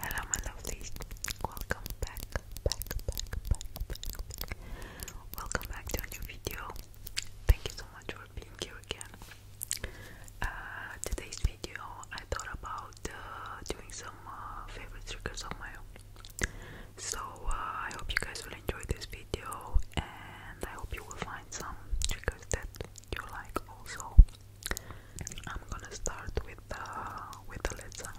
Hello, my lovelies. Welcome back, Welcome back to a new video. Thank you so much for being here again. Uh, today's video, I thought about uh, doing some uh, favorite triggers on my own. So I hope you guys will enjoy this video, and I hope you will find some triggers that you like also. I'm gonna start with the with the lid sounds.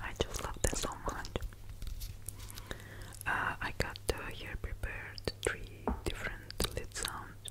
I just love this so much. Uh, I got uh, here prepared three different lid sounds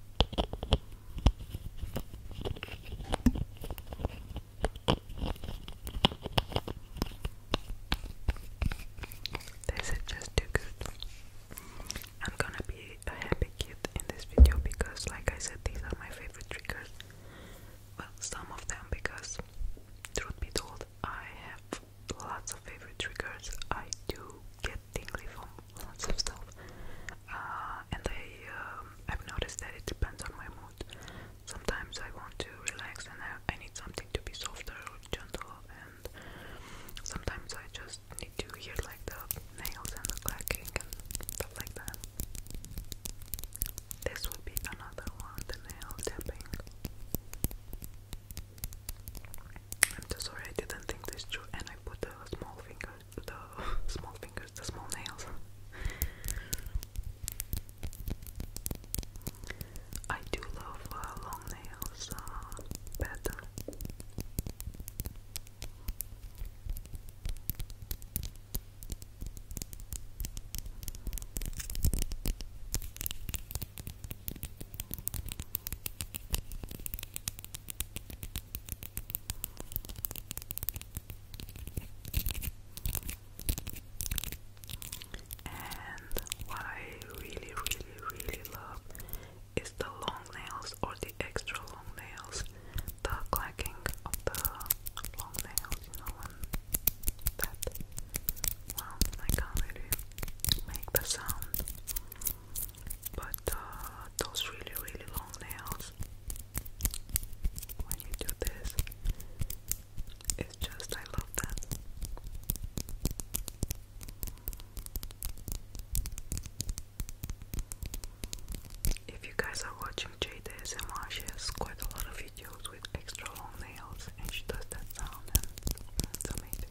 This is just too good. I'm gonna be a happy kid in this video because, like I said, these are my favorite triggers. Well, some of them because, truth be told, I have lots of favorite triggers. I do get tingly from lots of stuff. Uh, and I, have um, noticed that it depends on my mood. Sometimes I want to relax and I, need something to be softer or gentle, and sometimes I just need to hear like the nails and the clacking and stuff like that. This would be another one, the nail tapping. I'm just sorry I didn't think this through and I put a small finger the small fingers, the small nails. I do love uh, long nails uh, better. And what I really, really, really love is the long nails or the extra long nails, the clacking of the long nails, you know, that. Well, I can really make the sound. But uh, those really, really long nails, when you do this, it's just, I love that. If you guys are watching Jade ASMR, she has quite a lot of videos with extra long nails and she does that sound amazing.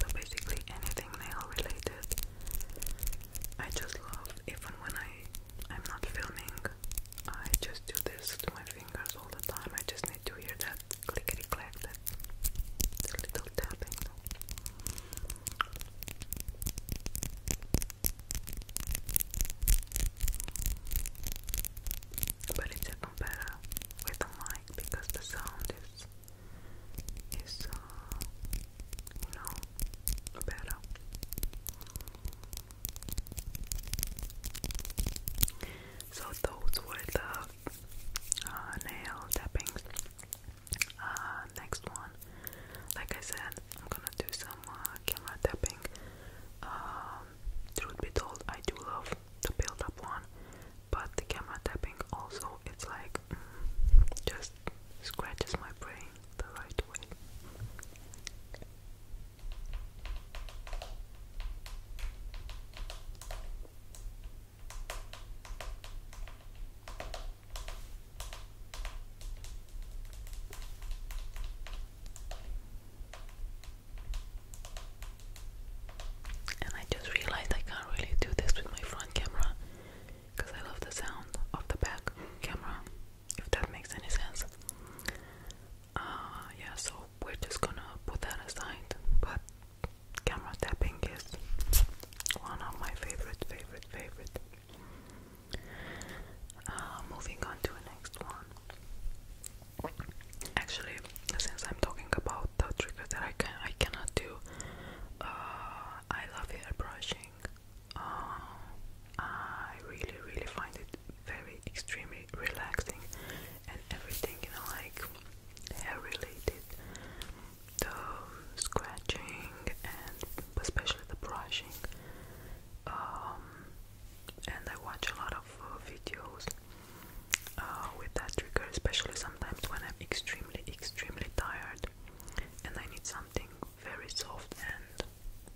So basically anything nail related I just love even when I I'm not filming I just do this to my fingers all the time. I just need to hear that clickety clack the little tapping but it's even better with a mic because the sound is is uh, you know better. So those were the uh, nail tappings. Uh, next one, like I said, I'm gonna do some camera tapping. Um, truth be told, I do love the build up one, but the camera tapping also, it's like mm, just scratches my brain the right way. And I just realized I can't really do this with my front camera because I love the sound of the back camera, if that makes any sense. Uh, yeah, so we're just gonna put that aside, but camera tapping is one of my favorite, favorite, favorite. Uh, moving on to the next one. Actually, since I'm talking about the trigger that I can I cannot do, uh, I love hair brushing. Uh, I really, really find it very extremely relaxing, and everything you know, like hair related, the scratching and especially the brushing. Um, and I watch a lot of uh, videos uh, with that trigger, especially sometimes when I'm extremely, extremely tired and I need something very soft and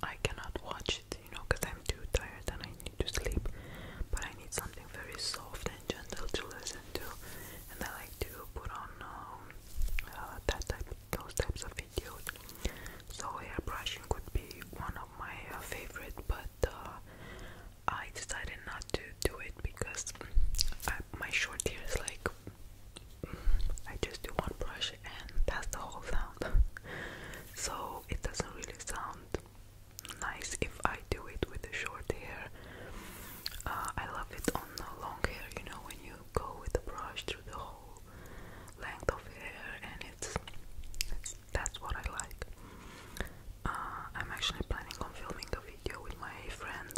I cannot watch it, you know, because I'm too tired and I need to sleep. But I need something very soft and gentle to listen to, and I like to put on um, uh, that type, those types of videos. So hairbrushing could be one of my uh, favorite, but uh, I decided not to do it because uh, my short hair is like I just do one brush and that's the whole sound. so it doesn't really sound nice if I do it with the short hair. I love it on the long hair, you know, when you go with the brush through the whole length of hair and it's, that's what I like. Uh, I'm actually planning on filming a video with my friend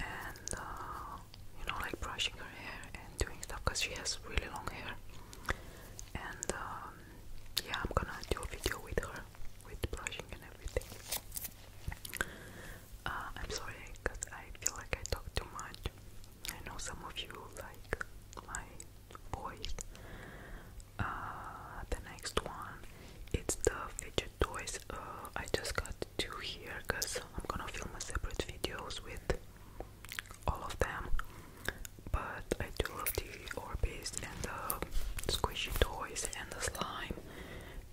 and uh, you know like brushing her hair and doing stuff because she has really long hair and um, yeah I'm gonna do a video with her with brushing and everything. Uh, I'm sorry because I feel like I talk too much I know some of you like my voice. Uh, the next one, it's the fidget toys. Uh, I just got two here because I'm gonna film a separate videos with all of them. But I do love the Orbis and the squishy toys and the slime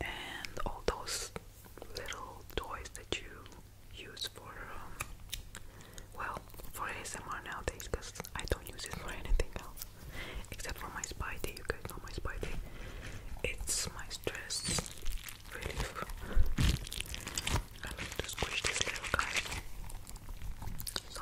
and all those little toys that you use for um, well for ASMR nowadays because I don't use it for anything else except for my Spidey. You guys know my Spidey. It's my stress relief. I like to squish this little guy. So.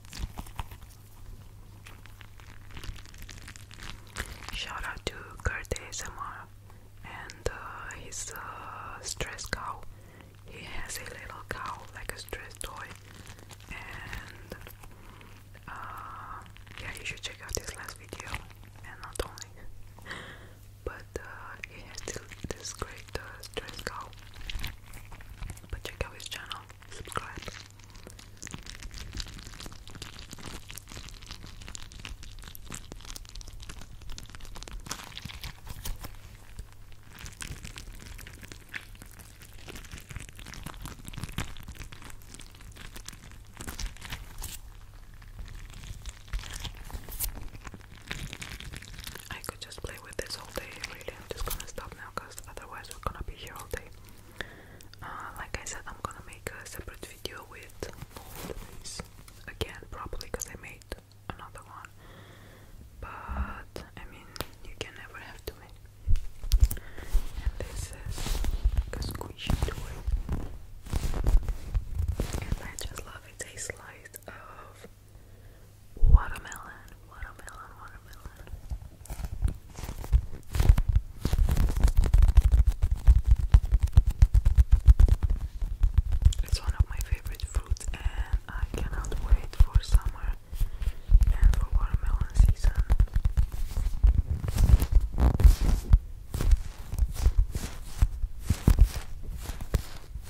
Shout out to Kurt ASMR and uh, his uh, stress cow. He has a little cow, like a stress toy. And uh, yeah, you should check out his last video. And not only, but uh, he has this, this great like the But check out his channel, subscribe. I could just play with this all day, really. I'm just gonna stop now because otherwise we're gonna be here all day. Uh, like I said, I'm gonna make a separate video with all of these again, probably because I made another one. But I mean, you can never have too many. And this is a squishy toy, and I just love it. A slice of Watermelon, watermelon, watermelon. It's one of my favorite fruits, and I cannot wait for summer and for watermelon season.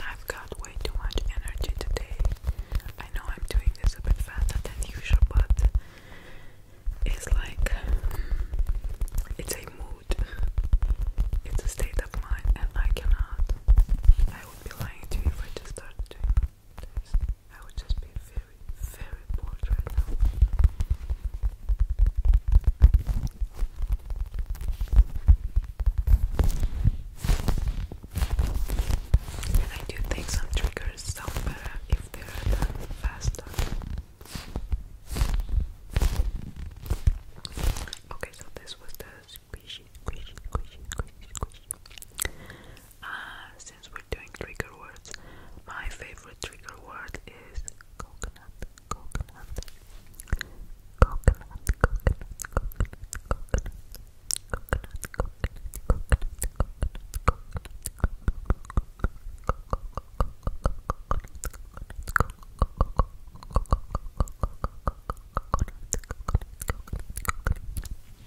I've got way too much energy today. I know I'm doing this a bit faster than usual, but it's like it's a mood, it's a state of mind, and I cannot. I would be lying to you if I just started doing days. I would just be very, very bored right now. I do think some triggers sound if they are done faster. Okay, so this was the squishy, squishy, squishy, squishy, squishy since we're doing trigger words, my favorite trigger word is coconut, coconut, coconut, coconut, coconut, coconut, coconut, coconut, coconut, coconut, coconut, coconut, coconut, coconut, coconut,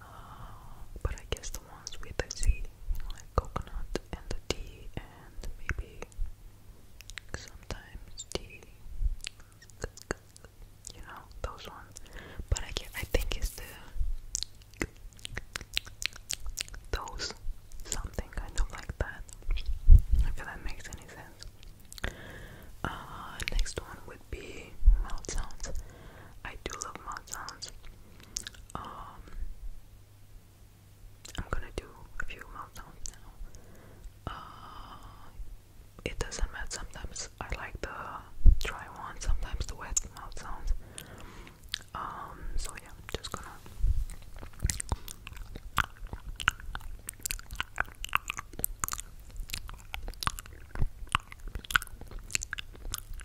uh, but I guess the ones with the sea, like coconut and the tea, and maybe sometimes tea. You know those ones, but I get, I think it's the those something kind of like that. If that makes any sense. Uh, next one we be mouth sounds. I do love mouth sounds. Um, I'm gonna do a few mouth sounds now. Uh, it doesn't matter. Sometimes I like the dry ones, sometimes the wet mouth sounds. Um, so yeah, just gonna.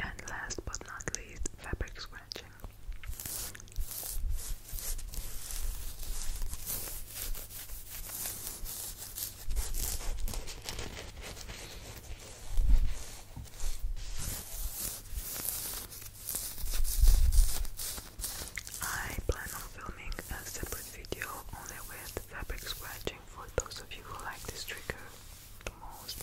And last but not least, fabric scratching. I plan on filming a separate video only with fabric scratching for those of you who like this trigger the most.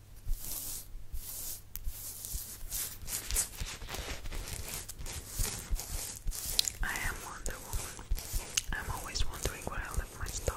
I am Wonder Woman. I'm always wondering where I left my stuff.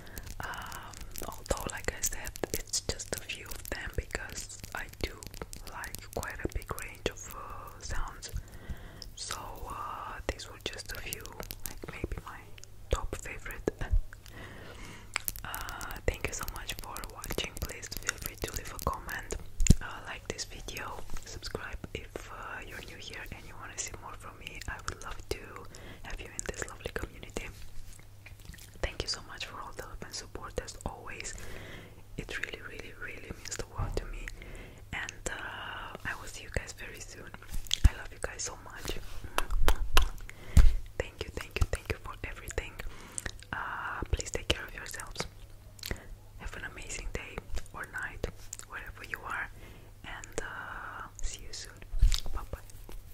Um, although, like I said, it's just a few of them because I do like quite a big range of uh, sounds. So uh, these were just a few, like maybe my top favorite. Uh, thank you so much for watching. Please feel free to leave a comment, like this video, subscribe if you're new here and you want to see more from me. I would love to have you in this lovely community. Thank you so much for all the love and support as always. It really, really, really means the world to me. And uh, I will see you guys very soon. I love you guys so much. Thank you, thank you, thank you for everything. Uh, please take care of yourselves. Have an amazing day or night, wherever you are. And uh, see you soon. Bye bye.